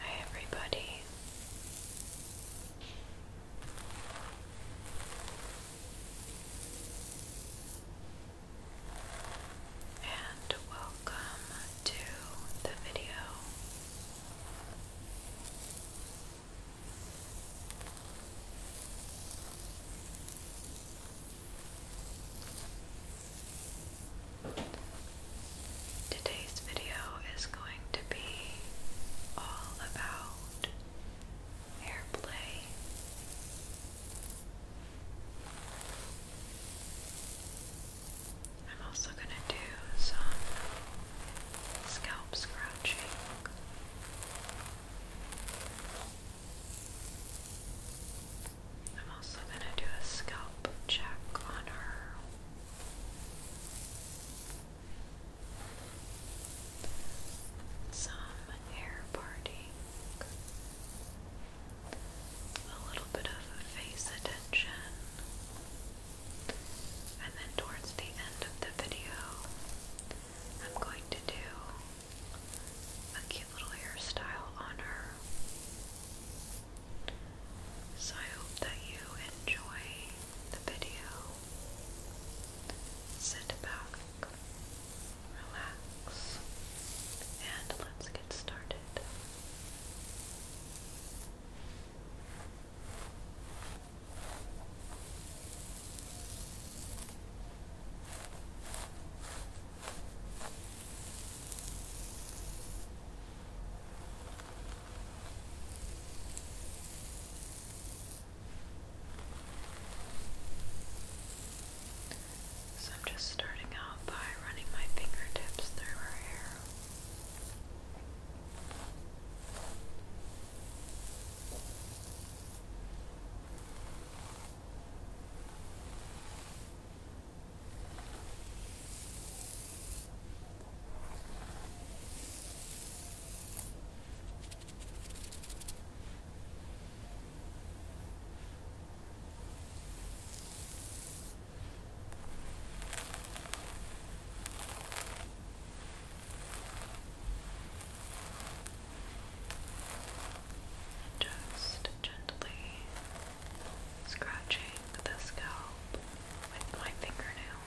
Hi, everybody and welcome to the video. Today's video is going to be all about airplay. I'm also going to do some scalp scratching. I'm also going to do a scalp check on her. Some hair parting a little bit of face attention. And then towards the end of the video, I'm going to do a cute little hairstyle on her. So I hope that you enjoy the video. Sit back, relax, and let's get started. So I'm just starting out by running my fingertips through her hair. Just gently scratching the scalp with my fingernails.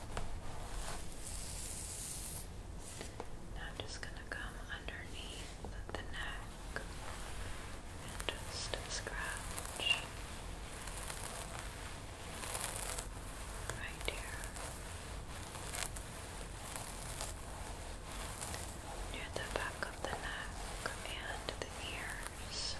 I'm just going to come underneath the neck and just scratch right here near the back of the neck and the ears.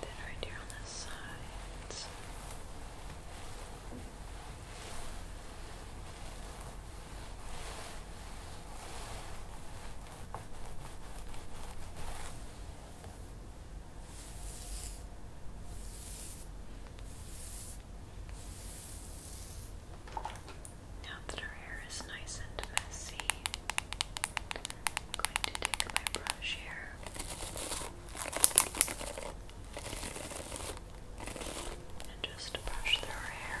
Then right here on the sides. Now that our hair is nice and messy, I'm going to take my brush here. And just brush through her hair.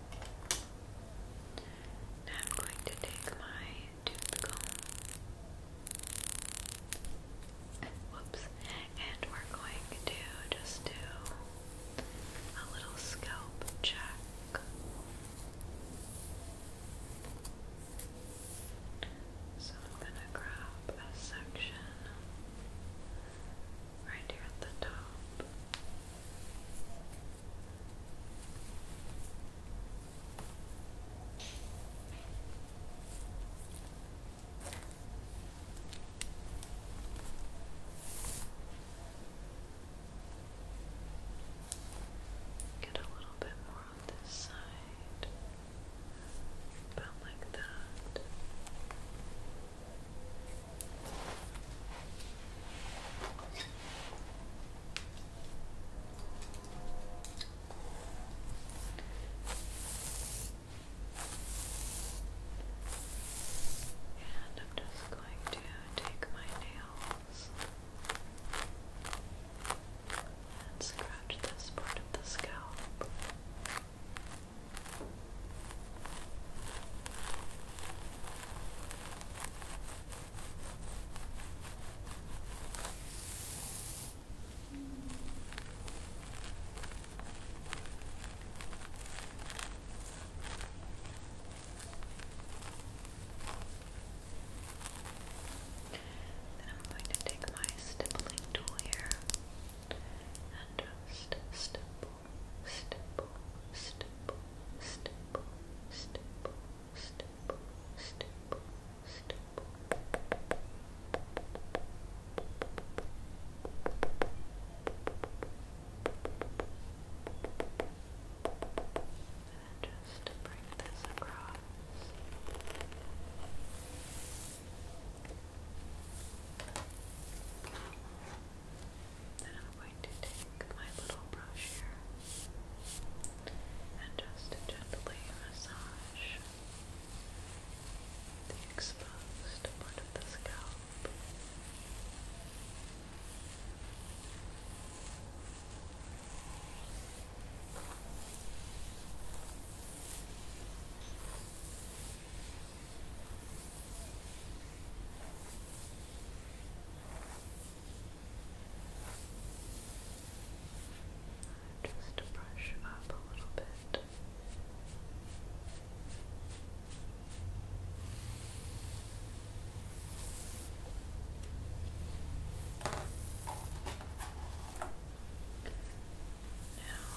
I'm going to take my tooth comb. Whoops. And we're going to just do a little scalp check. So I'm gonna grab a section right here at the top. Get a little bit more on this side, about like that. And I'm just going to take my nails and scratch this part of the scalp. Then I'm going to take my stippling tool here and just stipple, stipple, stipple, stipple, stipple, stipple, stipple, stipple. And just bring this across going to take my little brush here and just gently massage the exposed part of the scalp. Just to brush up a little bit. Now,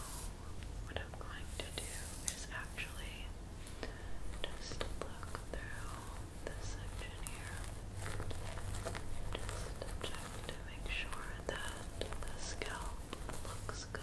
what I'm going to do is actually just look through this section here. Just check to make sure that the scalp looks good.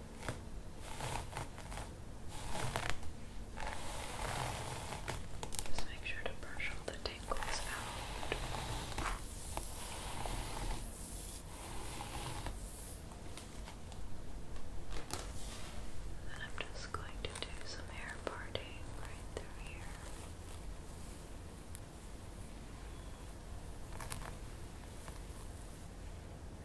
Just make sure to brush all the tangles out. And I'm just going to do some hair parting right through here.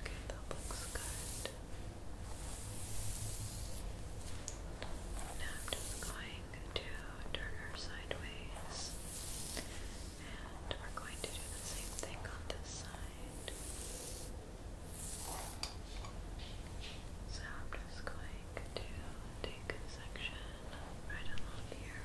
Okay, that looks good. Now I'm just going to turn her sideways, and we're going to do the same thing on this side. So I'm just going to take a section right along here.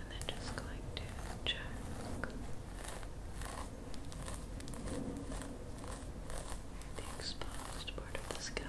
And then just going to check. The exposed part of the scalp.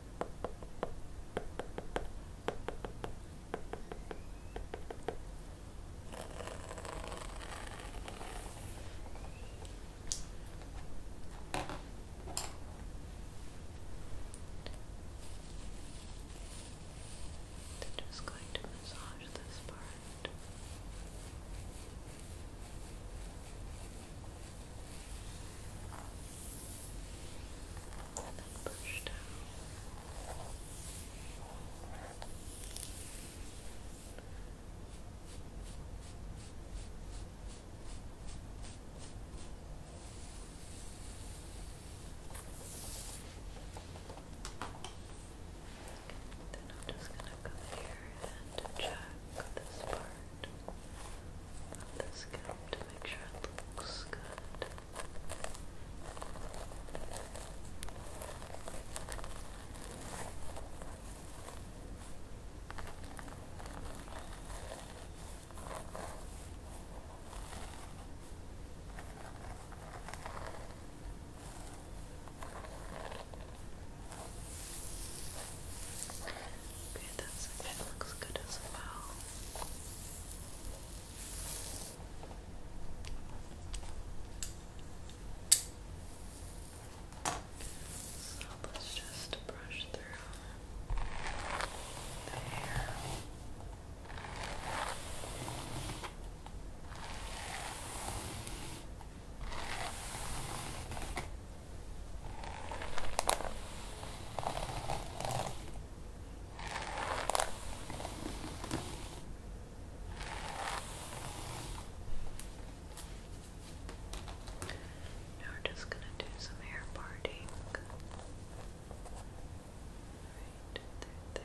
I'm just going to massage this part and then I'm just going to come here and check this part of the scalp to make sure it looks good. Okay, that's it looks good as well. So let just brush through the hair. Now we're just going to do some hair parting. Right there,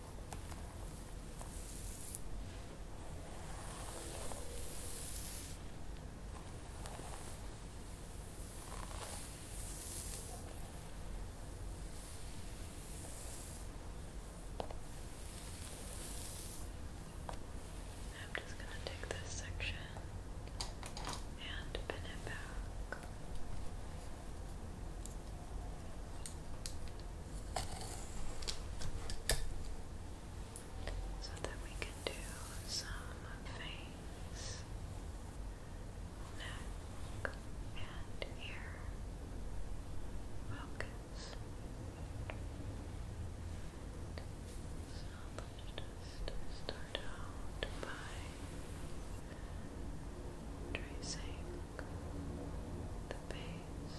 I'm just going to take this section and pin it back. So that we can do some face, neck, and ear focus. So let's just start out by tracing the base.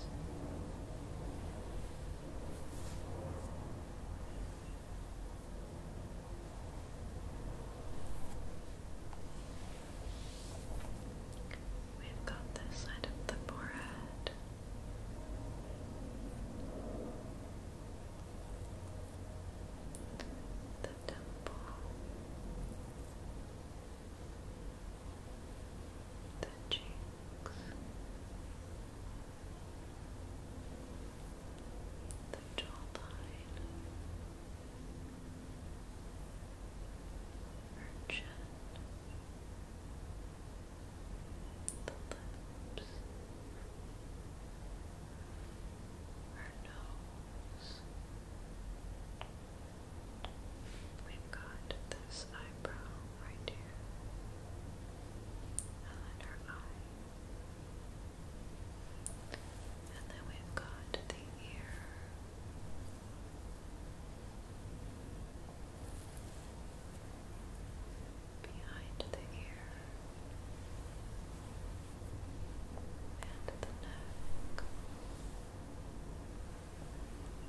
We've got this side of the forehead. The temple, the cheeks, the jawline, her chin, the lips, her nose. We've got this eyebrow right here, and then eye, and then we've got the ear. Behind the ear and the neck,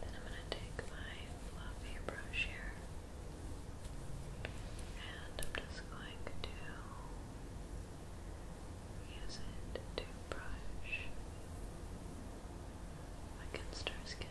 Then I'm going to take my fluffy brush here and I'm just going to use it to brush against our skin.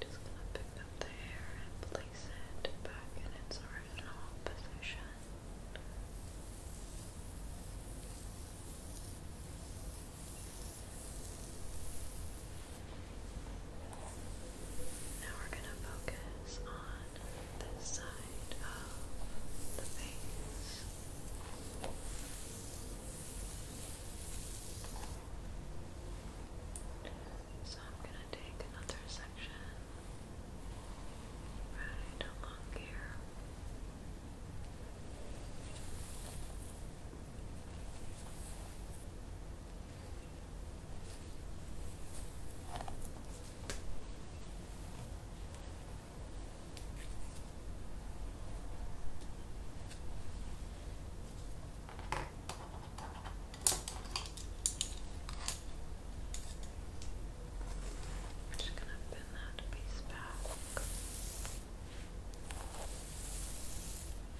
Just gonna pick up the hair and place it back in its original position. Now we're going to focus on this side of the face. So I'm going to take another section right along here. We're just going to bend that piece back.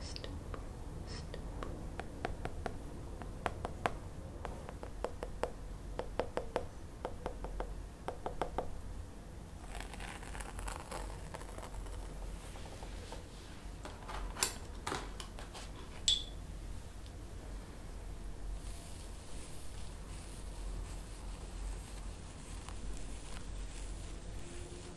stipple, stipple.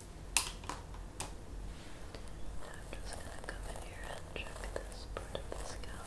Now I'm just going to come in here and check this part of the scalp.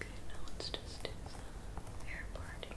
Okay, now let's just do some hair again.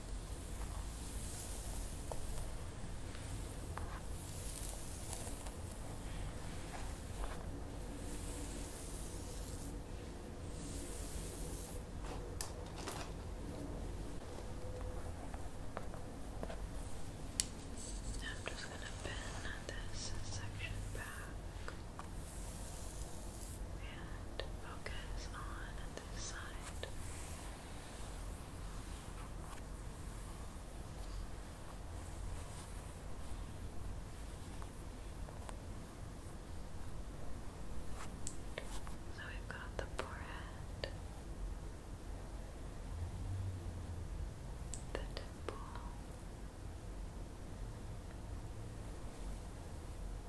Now I'm just going to pin this section back and focus on this side. So we've got the forehead, the temple,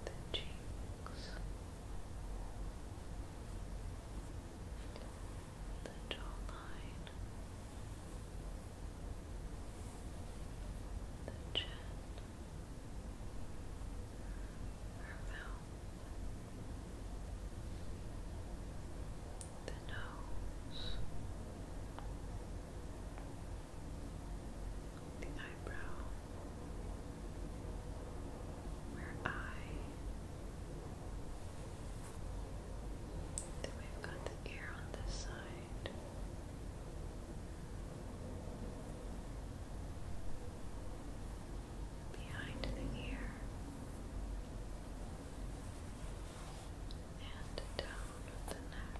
the cheeks, the jawline, the chin, her mouth, the nose, the eyebrow where I then we've got the ear on this side. Behind the ear and down the neck.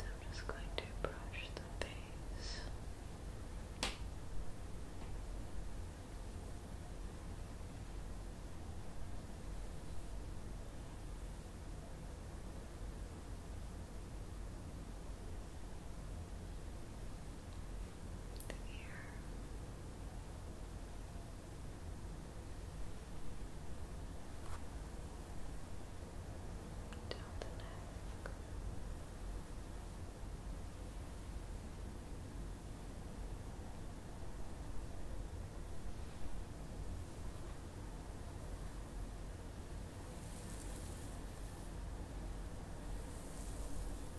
I'm just going to brush the face. The ear down the neck. Down the I'm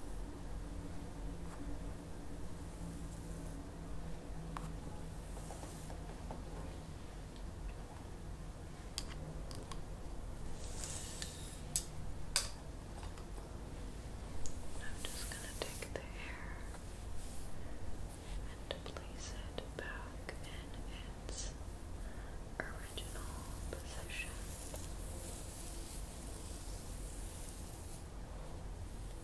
just going to take the hair and place it back in its original position.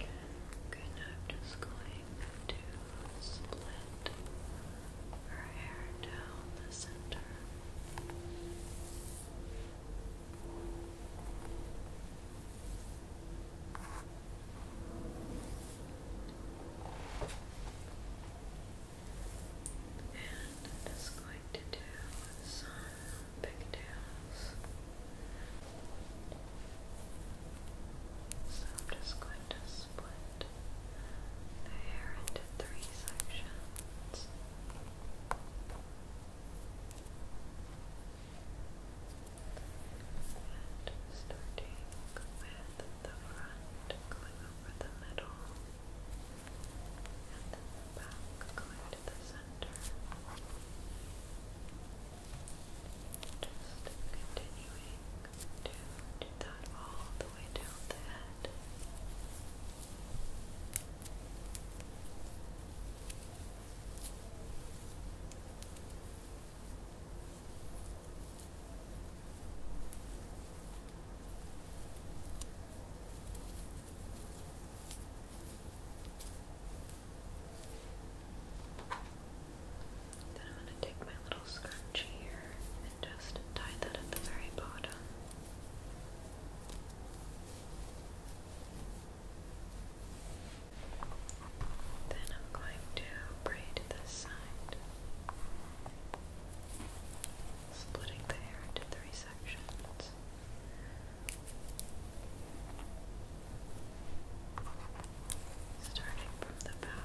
Okay, now I'm just going to split her hair down the center. And I'm just going to do some pigtails. So I'm just going to split the hair into three sections. And starting with at the front, going over the middle, and then back going to the center. Just continuing to do that all the way down the head. Then I'm going to take my little scrunchie here and just tie that at the very bottom. Then I'm going to braid this side. Splitting the hair into three sections. Starting from the back.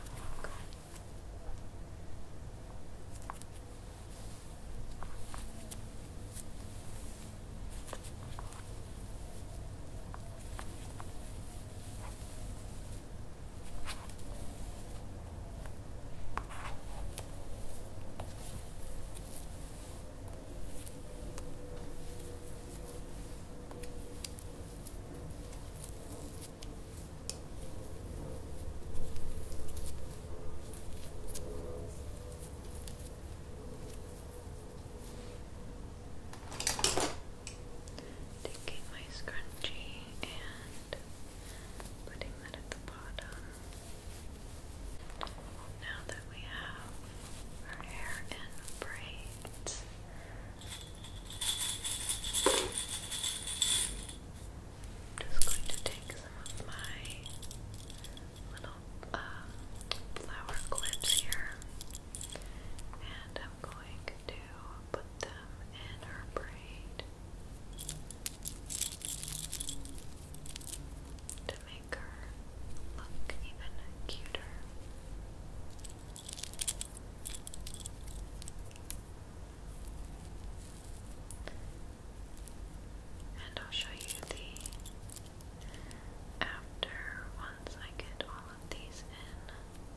Taking my scrunchie and putting that at the bottom. Now that we have our hair in braids, I'm just going to take some of my little uh, flower clips here, and I'm going to put them in her braid to make her look even cuter. And I'll show you the after once I get all of these in.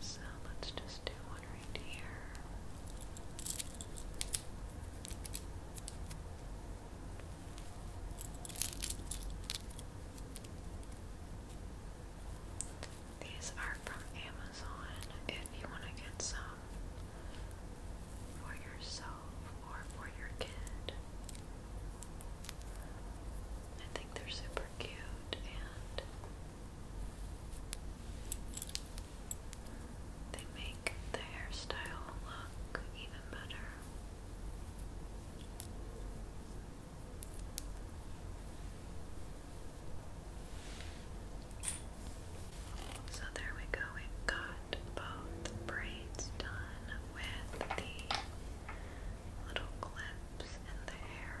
So let's just do one right here. These are from Amazon if you want to get some for yourself or for your kid. I think they're super cute and they make the hairstyle look even better. So there we go, we've got both braids done with the little clips in the hair.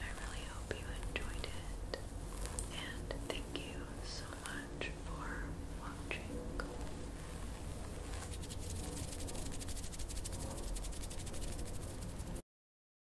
I really hope you enjoyed it, and thank you so much for watching.